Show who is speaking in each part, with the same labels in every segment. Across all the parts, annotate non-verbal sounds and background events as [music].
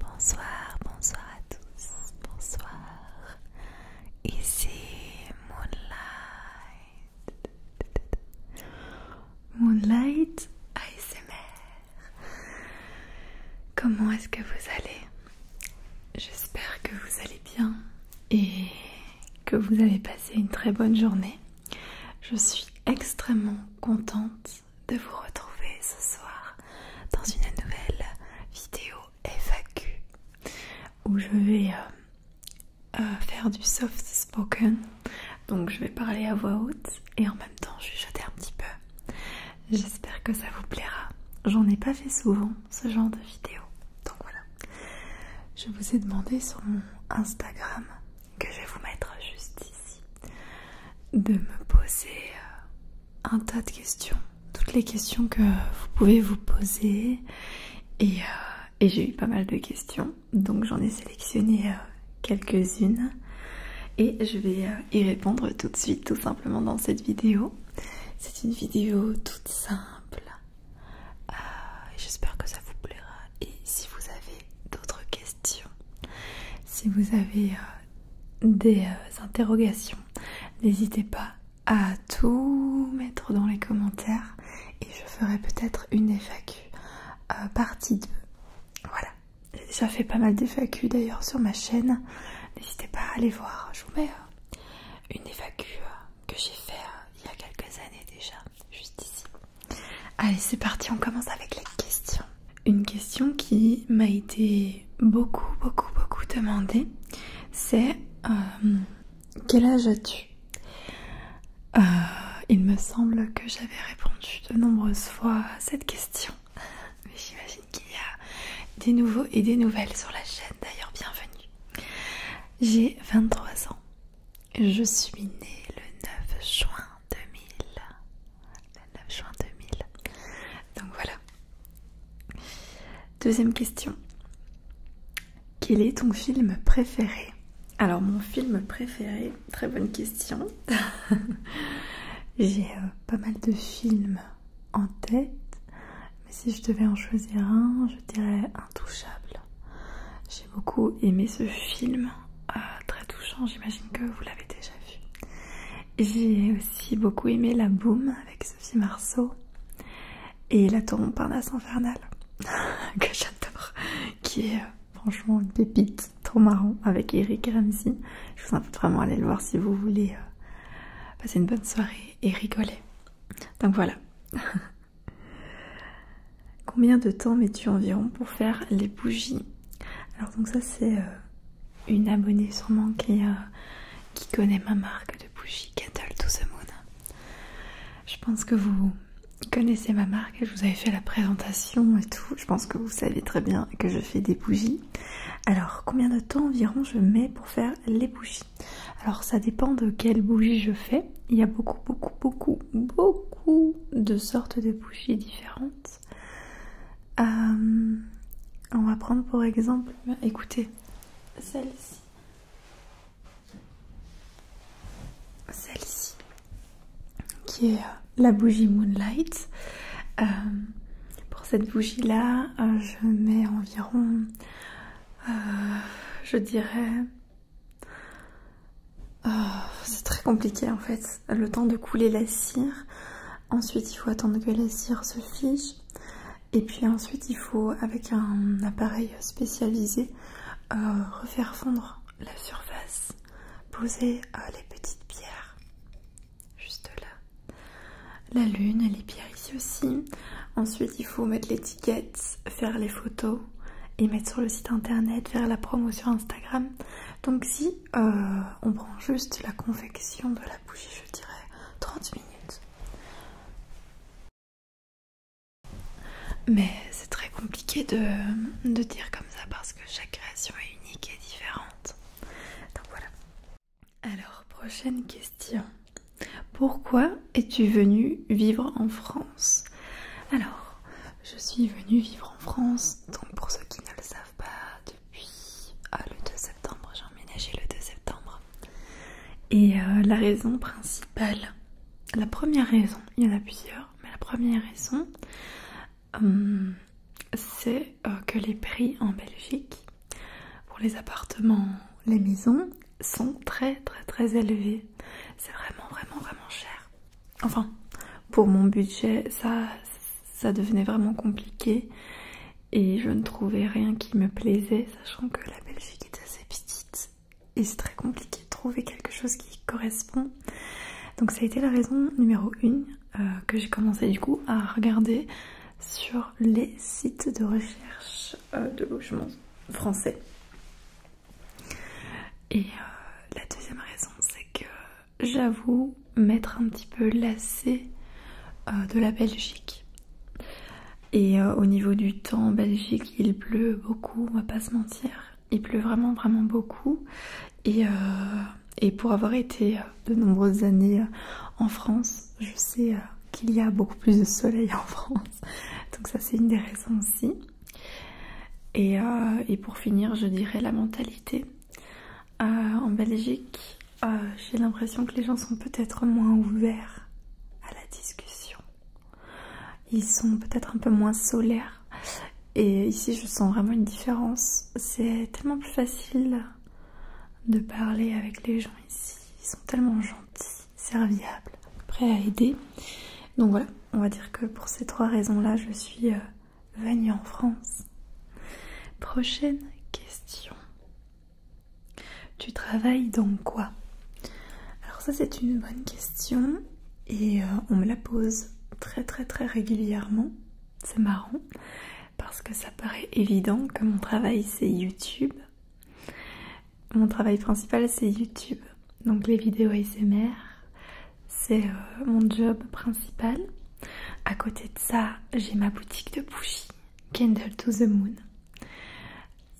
Speaker 1: Bonsoir, bonsoir à tous, bonsoir. Ici Moonlight. Moonlight ASMR. Comment est-ce que vous allez J'espère que vous allez bien et que vous avez passé une très bonne journée. Je suis extrêmement contente de vous retrouver ce soir dans une nouvelle vidéo FAQ où je vais euh, euh, faire du soft spoken. Donc je vais parler à voix haute et en même temps chuchoter un petit peu. J'espère que ça vous plaira. J'en ai pas fait souvent ce genre de vidéo. Donc voilà. Je vous ai demandé sur mon Instagram, que je vais vous mettre juste ici, de me poser euh, un tas de questions. Toutes les questions que vous pouvez vous poser. Et, euh, j'ai eu pas mal de questions. Donc j'en ai sélectionné euh, quelques-unes. Et je vais y répondre tout de suite, tout simplement dans cette vidéo. C'est une vidéo toute simple, euh, j'espère que ça vous plaira. Et si vous avez d'autres questions, si vous avez euh, des euh, interrogations, n'hésitez pas à tout mettre dans les commentaires et je ferai peut-être une FAQ partie 2. Voilà, ça fait pas mal d'FAQ d'ailleurs sur ma chaîne. N'hésitez pas à aller voir, je vous mets une FAQ que j'ai fait euh, il y a quelques années déjà, juste ici. Allez, c'est parti, on commence avec les questions. Une question qui m'a été beaucoup, beaucoup, beaucoup demandée, c'est euh, quel âge as-tu euh, Il me semble que j'avais répondu de nombreuses fois à cette question. [laughs] Mais j'imagine qu'il y a des nouveaux et des nouvelles sur la chaîne, d'ailleurs bienvenue. J'ai 23 ans. Je suis née le 9 juin 2000. Le 9 juin 2000. Donc voilà. Deuxième question. Quel est ton film préféré Alors mon film préféré, très bonne question. [laughs] J'ai euh, pas mal de films en tête. Mais si je devais en choisir un, je dirais Intouchable. J'ai beaucoup aimé ce film, euh, très touchant, j'imagine que vous l'avez déjà vu. J'ai aussi beaucoup aimé La Boum avec Sophie Marceau et La Tour Montparnasse Infernale, [laughs] que j'adore, qui est euh, franchement une pépite trop marrant avec Eric Ramsey. Je vous invite vraiment à aller le voir si vous voulez euh, passer une bonne soirée et rigoler. Donc voilà, [laughs] Combien de temps mets-tu environ pour faire les bougies Alors donc ça c'est euh, une abonnée sûrement qui, euh, qui connaît ma marque de bougies Kettle to the Moon. Je pense que vous connaissez ma marque, je vous avais fait la présentation et tout. Je pense que vous savez très bien que je fais des bougies. Alors combien de temps environ je mets pour faire les bougies alors ça dépend de quelle bougie je fais. Il y a beaucoup, beaucoup, beaucoup, beaucoup de sortes de bougies différentes. Euh, on va prendre pour exemple, écoutez, celle-ci. Celle-ci, qui est euh, la bougie Moonlight. Euh, pour cette bougie-là, je mets environ euh, je dirais... Oh, c'est très compliqué en fait, le temps de couler la cire. Ensuite, il faut attendre que la cire se fiche. Et puis ensuite, il faut, avec un appareil spécialisé, euh, refaire fondre la surface. Poser euh, les petites pierres, juste là. La lune, elle est bien ici aussi. Ensuite, il faut mettre l'étiquette, faire les photos et mettre sur le site internet, faire la promo sur Instagram. Donc si euh, on prend juste la confection de la bougie, je dirais 30 minutes. Mais c'est très compliqué de, de dire comme ça parce que chaque création est unique et différente. Donc voilà. Alors, prochaine question. Pourquoi es-tu venu vivre en France Alors, je suis venue vivre en France, donc pour ceux qui ne le savent pas, depuis ah, le 2 septembre, j'ai emménagé le 2 septembre. Et euh, la raison principale, la première raison, il y en a plusieurs, mais la première raison, hum, c'est euh, que les prix en Belgique pour les appartements, les maisons sont très très très élevées. C'est vraiment vraiment vraiment cher. Enfin, pour mon budget, ça, ça devenait vraiment compliqué et je ne trouvais rien qui me plaisait, sachant que la Belgique est assez petite et c'est très compliqué de trouver quelque chose qui correspond. Donc ça a été la raison numéro une euh, que j'ai commencé du coup à regarder sur les sites de recherche euh, de logements français. Et euh, la deuxième raison, c'est que j'avoue m'être un petit peu lassée euh, de la Belgique. Et au niveau du temps, en Belgique, il pleut beaucoup, on va pas se mentir. Il pleut vraiment, vraiment beaucoup. et pour avoir été de nombreuses années en France, je sais euh, qu'il y a beaucoup plus de soleil en France, [laughs] donc ça c'est une des raisons aussi. Et, euh, et pour finir, je dirais la mentalité. Euh, en Belgique, j'ai l'impression que les gens sont peut-être moins ouverts à la discussion. Ils sont peut-être un peu moins solaires. Et ici, je sens vraiment une différence. C'est tellement plus facile de parler avec les gens ici. Ils sont tellement gentils, serviables, prêts à aider. Donc voilà, on va dire que pour ces trois raisons-là, je suis euh, venue en France. Prochaine question. Tu travailles dans quoi Alors ça c'est une bonne question et euh, on me la pose très très très régulièrement. C'est marrant parce que ça paraît évident que mon travail c'est YouTube. Mon travail principal c'est YouTube. Donc les vidéos ASMR, c'est euh, mon job principal. À côté de ça, j'ai ma boutique de bougies, Candle to the Moon.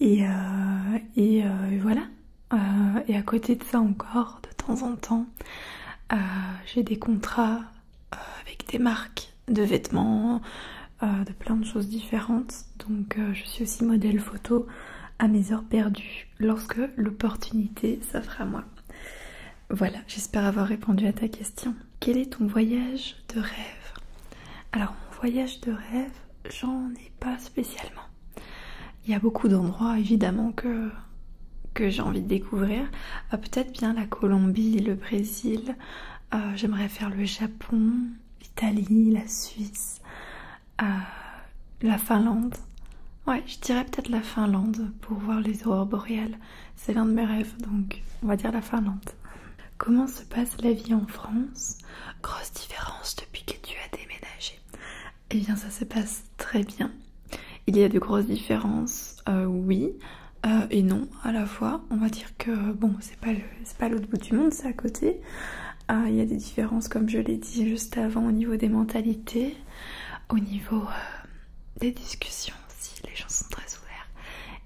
Speaker 1: Et, euh, euh, et voilà. et à côté de ça encore, de temps en temps, j'ai des contrats euh, avec des marques de vêtements, euh, de plein de choses différentes. Donc euh, je suis aussi modèle photo à mes heures perdues lorsque l'opportunité s'offre à moi. Voilà, j'espère avoir répondu à ta question. Quel est ton voyage de rêve Alors mon voyage de rêve, j'en ai pas spécialement. Il y a beaucoup d'endroits évidemment que, j'ai envie de découvrir. Ah, peut-être bien la Colombie, le Brésil, euh, j'aimerais faire le Japon, l'Italie, la Suisse, euh, la Finlande. Ouais, je dirais peut-être la Finlande pour voir les aurores boréales. C'est l'un de mes rêves, donc on va dire la Finlande. Comment se passe la vie en France Grosse différence depuis que tu as déménagé. Eh bien, ça se passe très bien. Il y a de grosses différences, euh, oui. Euh, et non à la fois. On va dire que bon, c'est pas l'autre bout du monde, c'est à côté. Euh, il y a des différences, comme je l'ai dit juste avant, au niveau des mentalités, au niveau euh, des discussions aussi. Les gens sont très ouverts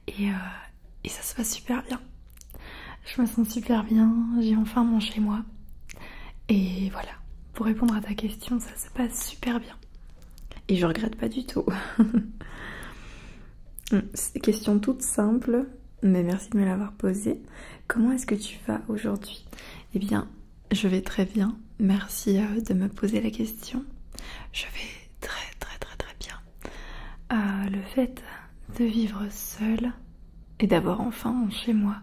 Speaker 1: et, et ça se passe super bien. Je me sens super bien, j'ai enfin mon chez moi. Et voilà, pour répondre à ta question, ça se passe super bien. Et je regrette pas du tout. [laughs] Hmm, c'est question toute simple, mais merci de me l'avoir posée. Comment est-ce que tu vas aujourd'hui Eh bien, je vais très bien. Merci euh, de me poser la question. Je vais très très très très bien. Euh, le fait de vivre seule et d'avoir enfin chez moi,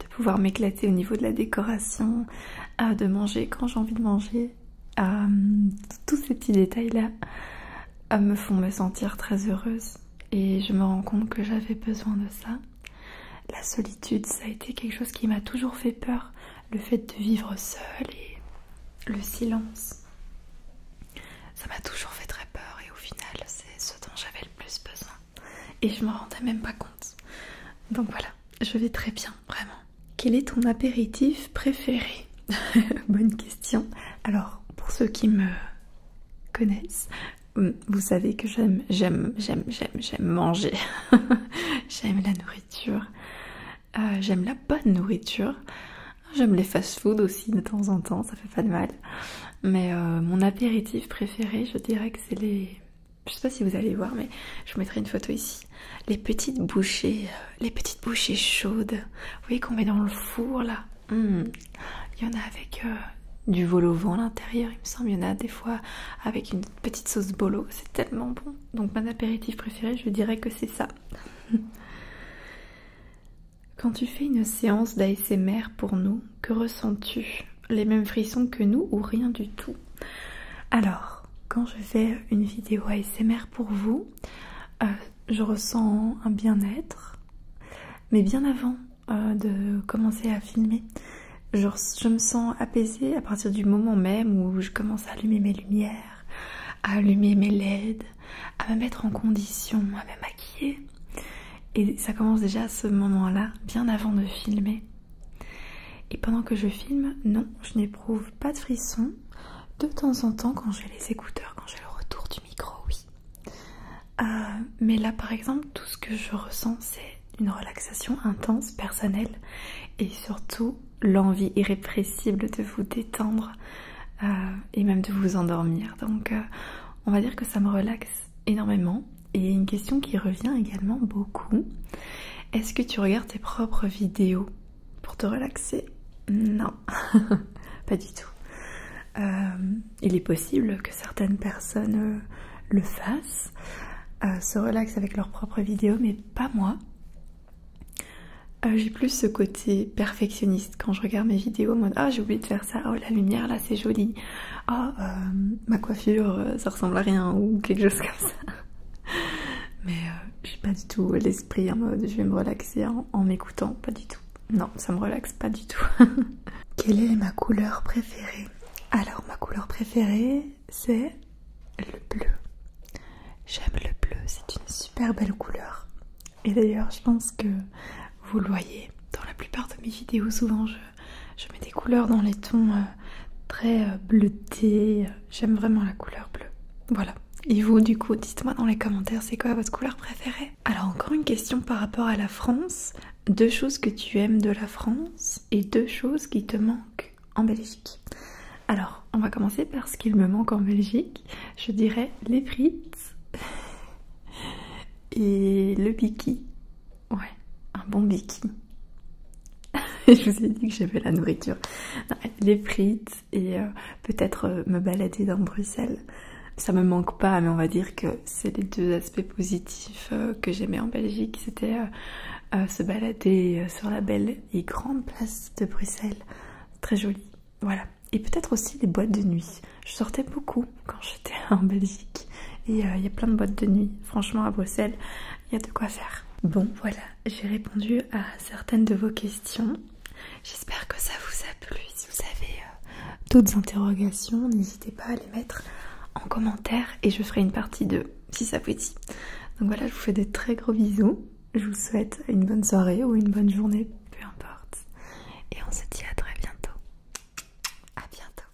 Speaker 1: de pouvoir m'éclater au niveau de la décoration, euh, de manger quand j'ai envie de manger, euh, tous ces petits détails-là me font me sentir très heureuse et je me rends compte que j'avais besoin de ça. La solitude, ça a été quelque chose qui m'a toujours fait peur, le fait de vivre seule et le silence. Ça m'a toujours fait très peur et au final, c'est ce dont j'avais le plus besoin. Et je me rendais même pas compte. Donc voilà, je vais très bien, vraiment. Quel est ton apéritif préféré [laughs] Bonne question. Alors, pour ceux qui me connaissent, hum, vous savez que j'aime, j'aime, j'aime, j'aime, j'aime manger. [laughs] j'aime la nourriture. Euh, j'aime la bonne nourriture. J'aime les fast-food aussi de temps en temps, ça fait pas de mal. Mais euh, mon apéritif préféré, je dirais que c'est les je sais pas si vous allez voir, mais je vous mettrai une photo ici. Les petites bouchées, euh, les petites bouchées chaudes, vous voyez qu'on met dans le four là. Hmm. Il y en a avec euh, du vol au vent à l'intérieur, il me semble. Il y en a des fois avec une petite sauce bolo, c'est tellement bon. Donc, mon apéritif préféré, je dirais que c'est ça. [laughs] Quand tu fais une séance d'ASMR pour nous, que ressens-tu Les mêmes frissons que nous ou rien du tout alors, quand je fais une vidéo ASMR pour vous, euh, je ressens un bien-être, mais bien avant euh, de commencer à filmer, je, me sens apaisée à partir du moment même où je commence à allumer mes lumières, à allumer mes LED, à me mettre en condition, à me maquiller. Et ça commence déjà à ce moment-là, bien avant de filmer. Et pendant que je filme, non, je n'éprouve pas de frissons. De temps en temps, quand j'ai les écouteurs, quand j'ai le retour du micro, oui. Euh, mais là, par exemple, tout ce que je ressens, c'est une relaxation intense, personnelle, et surtout l'envie irrépressible de vous détendre euh, et même de vous endormir. Donc, euh, on va dire que ça me relaxe énormément. Et une question qui revient également beaucoup. Est-ce que tu regardes tes propres vidéos pour te relaxer Non, [laughs] pas du tout. Euh, il est possible que certaines personnes euh, le fassent, euh, se relaxent avec leurs propres vidéos, mais pas moi. j'ai plus ce côté perfectionniste quand je regarde mes vidéos en mode ah j'ai oublié de faire ça, oh la lumière là c'est joli, oh ma coiffure ça ressemble à rien ou quelque chose comme ça. [laughs] Mais euh, j'ai je pas du tout l'esprit en mode je vais me relaxer en, m'écoutant, pas du tout. Non, ça me relaxe pas du tout. [laughs] Quelle est ma couleur préférée Alors, ma couleur préférée, c'est le bleu. J'aime le bleu, c'est une super belle couleur. Et d'ailleurs, je pense que vous le voyez dans la plupart de mes vidéos, souvent je euh, je mets des couleurs dans les tons euh, très euh, bleutés. J'aime vraiment la couleur bleue. Voilà. Et vous, du coup, dites-moi dans les commentaires, c'est quoi votre couleur préférée Alors, encore une question par rapport à la France. Deux choses que tu aimes de la France et deux choses qui te manquent en Belgique. Alors, on va commencer par ce qu'il me manque en Belgique. Je dirais les frites [laughs] et le piqui. Ouais, un bon bikini. [laughs] je vous ai dit que j'aimais la nourriture. les frites et euh, peut-être euh, me balader dans Bruxelles. Ça me manque pas, mais on va dire que c'est les deux aspects positifs euh, que j'aimais en Belgique. C'était se balader sur la belle et grande place de Bruxelles. Très jolie. Voilà. Et peut-être aussi les boîtes de nuit. Je sortais beaucoup quand j'étais [laughs] en Belgique. Et il y a plein de boîtes de nuit. Franchement, à Bruxelles, il y a de quoi faire. Bon, voilà, j'ai répondu à certaines de vos questions. J'espère que ça vous a plu. Si vous avez euh, d'autres interrogations, n'hésitez pas à les mettre en commentaire et je ferai une partie 2 si ça vous dit. Donc voilà, je vous fais des très gros bisous. Je vous souhaite une bonne soirée ou une bonne journée, peu importe. Et on se dit à très bientôt. À bientôt.